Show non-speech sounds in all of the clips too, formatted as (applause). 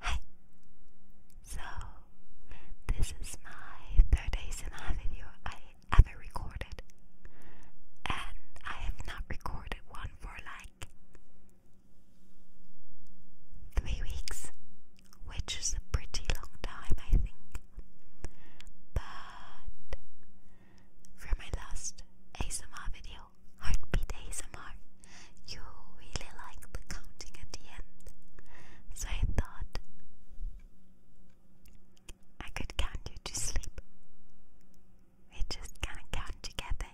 Hi! So, this is my third ASMR video I ever recorded. And I have not recorded one for like three weeks, which is a pretty long time, I think. But for my last ASMR video, video, Heartbeat ASMR, you really liked the counting at the end. So I thought I could count you to sleep. We just going count together.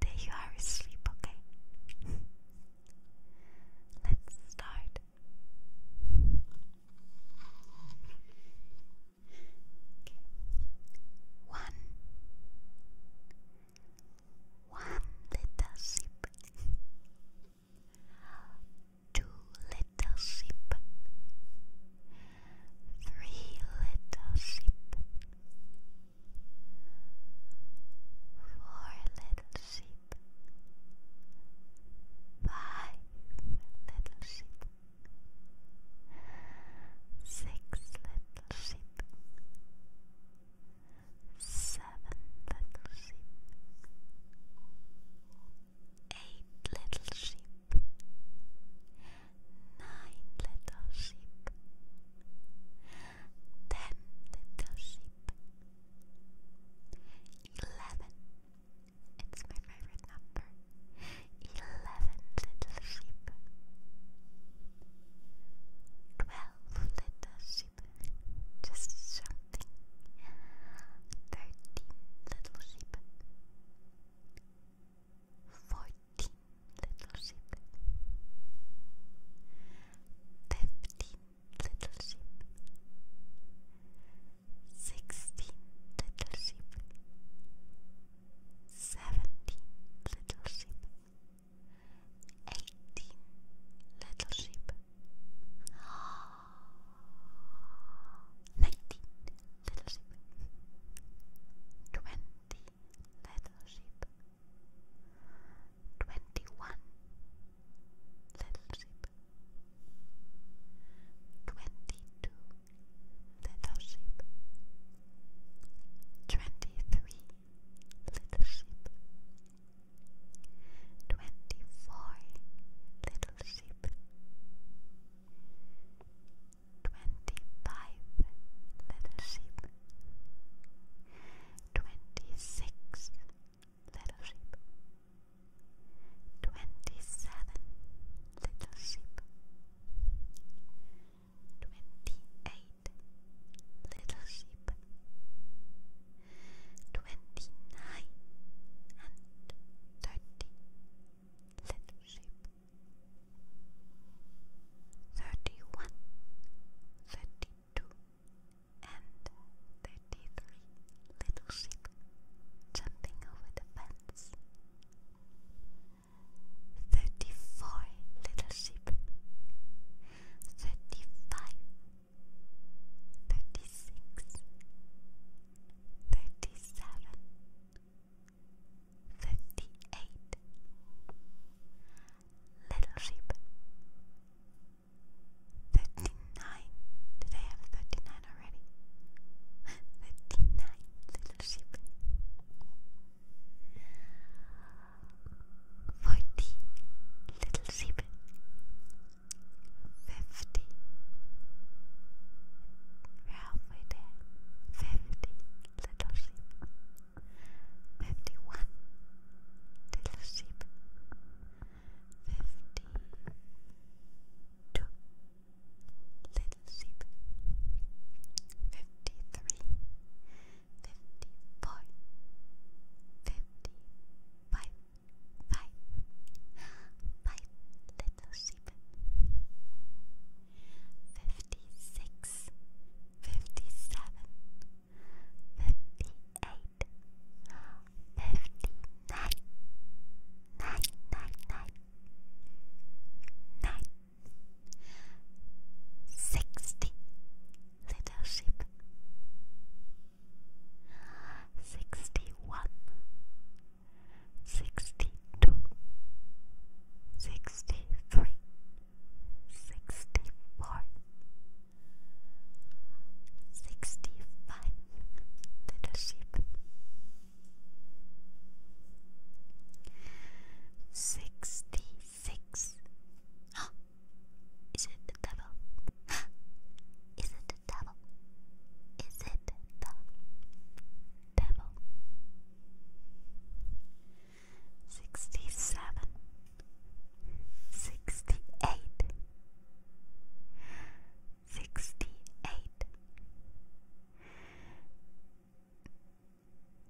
There you are asleep, okay? (laughs) Let's start. One, one little sip, two little sip, three little sip, four little sip, five little sip, six little sip seven little sheep, eight little sheep, nine little sheep, ten little sheep, eleven. It's my favorite number eleven little sheep, twelve little sheep, just something, thirteen little sheep, fourteen little sheep, fifteen little sheep, sixteen little sheep. little sheep, seventeen little sheep, eighteen little sheep, (gasps) nineteen little sheep, twenty little sheep, twenty one little sheep, twenty two little sheep. Twenty-three little sheep. Twenty-four little sheep. Twenty-five little sheep. Twenty-six little sheep. Twenty-seven little sheep. Twenty-eight little sheep, twenty-nine and thirty little sheep, thirty-one, thirty-two, and thirty-three little sheep jumping over the fence thirty-four little sheep, thirty-five, thirty-six, thirty-seven, thirty-eight little sheep. Thirty-nine. Did I have thirty-nine? nine already. Fifty-nine little sheep. Forty little sheep. Fifty. We're Fifty little sheep. Fifty-one little sheep. Fifty-two. Little sheep. Fifty three, fifty four, fifty five, five, five little sheep. Fifty six, fifty seven, fifty eight, fifty nine, nine, nine, nine nine, sixty little sheep, sixty one, sixty two, sixty three, sixty four, sixty five little sheep. 65 little sheep Sixty-six. Huh? Is it the devil? Is it the devil? Is it the devil? Sixty-seven. Sixty-eight sixty-eight,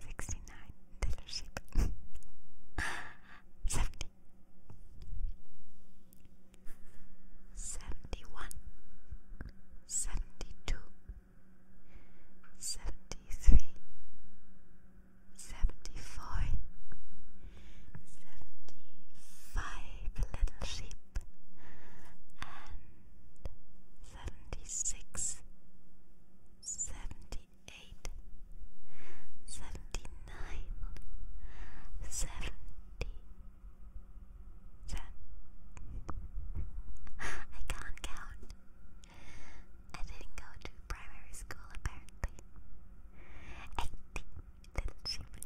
sixty-nine dealership, (laughs) seventy, seventy-one, seventy-two, seventy-three, seventy-four, seventy-five little sheep and seventy six, seventy eight, seventy nine, seventy ten. I can't count. I didn't go to primary school apparently. Eighty little children.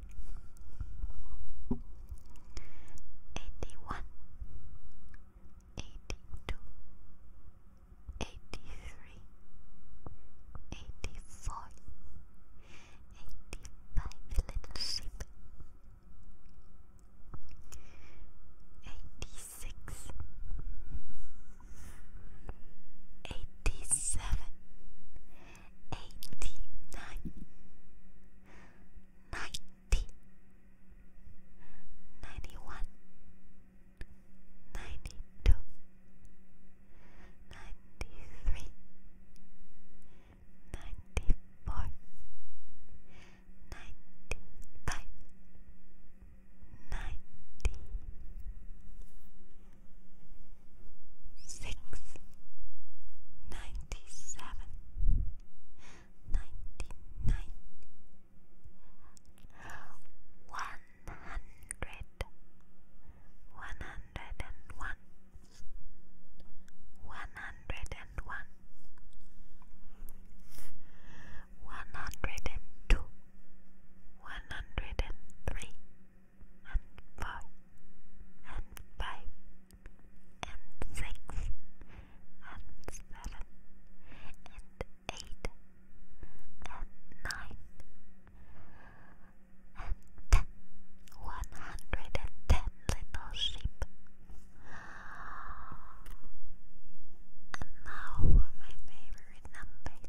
Eighty-one, eighty-two, eighty-three, eighty-four, eighty-five little sheep. Eighty-six, eighty-seven, eighty-nine, ninety, ninety-one, ninety-two, ninety-three, ninety-four, ninety-five, ninety. 91 six, ninety seven, ninety nine, one hundred, one hundred and one, one hundred and one, one hundred and two, one hundred and three and four, and five, and six, and seven, and eight, and nine, and ten, one hundred and ten little sheep. And now for my favorite number.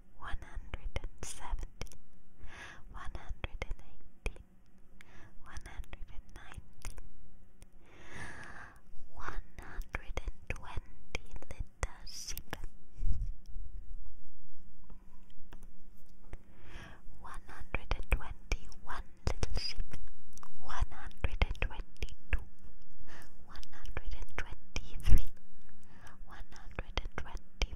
one hundred and seventy, one hundred and eighty, one hundred and ninety, one hundred and twenty liter sheep, one hundred and twenty one little sheep, one hundred and twenty two, one hundred and twenty three, one hundred and twenty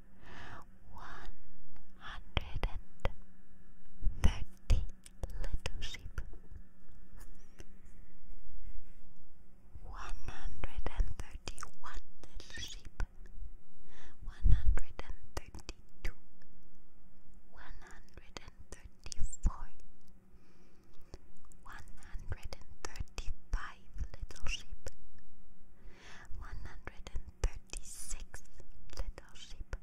one hundred and thirty little sheep, one hundred and thirty one little sheep, one hundred and thirty two, one hundred and thirty four, one hundred and thirty thirty-five little sheep, one hundred and thirty-six little sheep,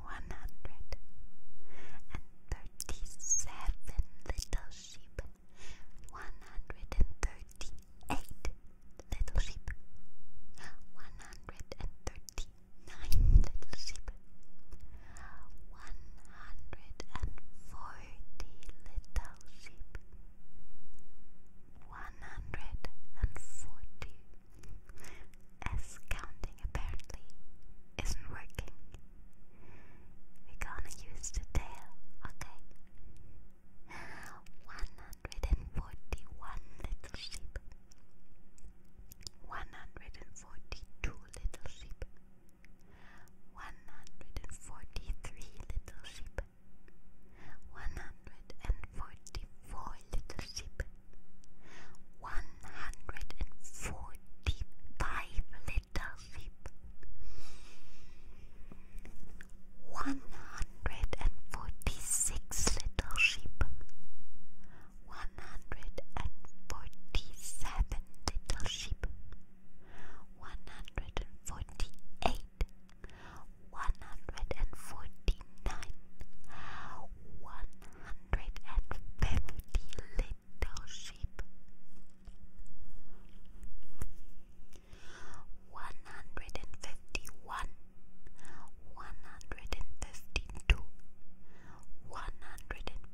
one hundred and thirty-seven little sheep, one hundred and thirty-eight little sheep, one hundred and thirty-nine little sheep, one hundred and four forty little sheep. One hundred and forty. As counting apparently isn't working. We're gonna use the tail, okay? One hundred and forty one little sheep. One hundred and forty two little sheep one hundred and forty three little sheep, one hundred and forty four little sheep, one hundred and forty five little sheep, one hundred and forty six little sheep. One hundred and forty seven little sheep, one hundred and forty eight, one hundred and forty nine, one hundred and fifty little sheep, one hundred and fifty one, one hundred and fifty two, one hundred and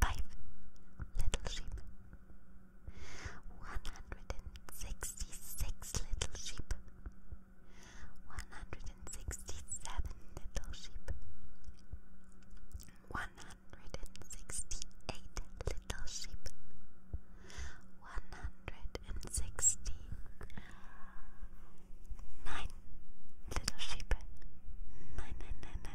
five little sheep, one hundred and sixty six little sheep, one hundred and sixty seven little sheep, one hundred and sixty eight little sheep, one hundred and sixty nine little sheep, nine, nine, nine,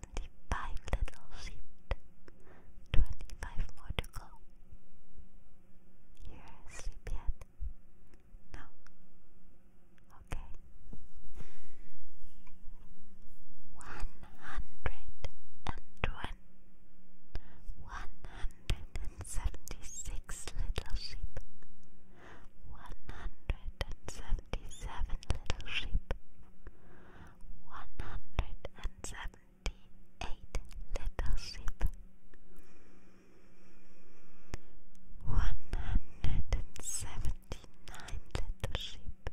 Seventy-five little sheep. Twenty-five more to go. You're asleep yet? No. Okay. One hundred and twenty. One hundred and seventy-six little sheep one hundred and seventy seven little sheep, one hundred and seventy eight little sheep, one hundred and seventy nine little sheep,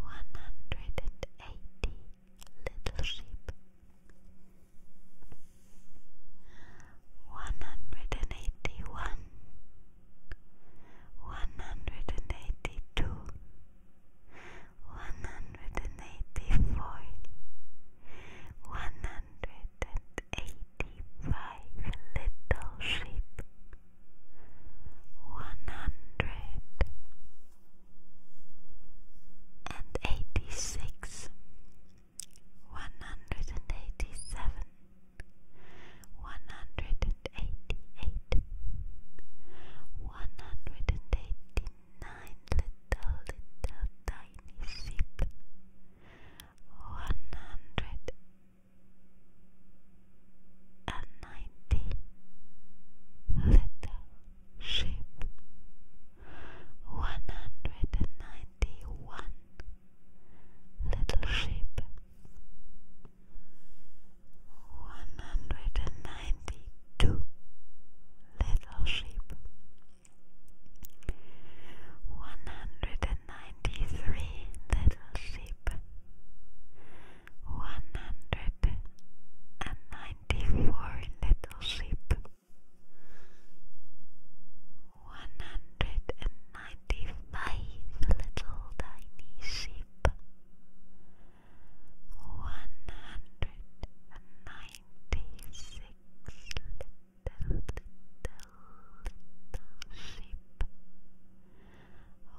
one hundred and eighty little sheep one hundred and eighty one, one hundred and eighty two, one hundred and eighty four, one hundred and eighty five little sheep, one hundred and eighty six one hundred and eighty seven, one hundred and eighty eight, one hundred and eighty nine little little tiny sheep, one hundred and ninety little sheep, one hundred and ninety twenty one little sheep, one hundred and ninety two little sheep, one hundred and ninety three little sheep, one hundred and ninety four little sheep. One hundred and ninety five little tiny sheep. One hundred and ninety six little little sheep.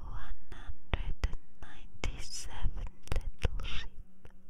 One hundred and ninety seven little sheep.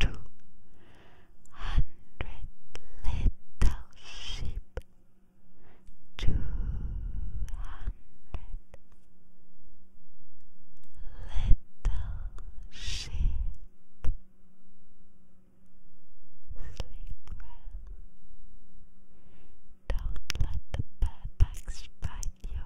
two hundred little sheep, two hundred little sheep. Sleep well. Don't let the bad bugs bite you.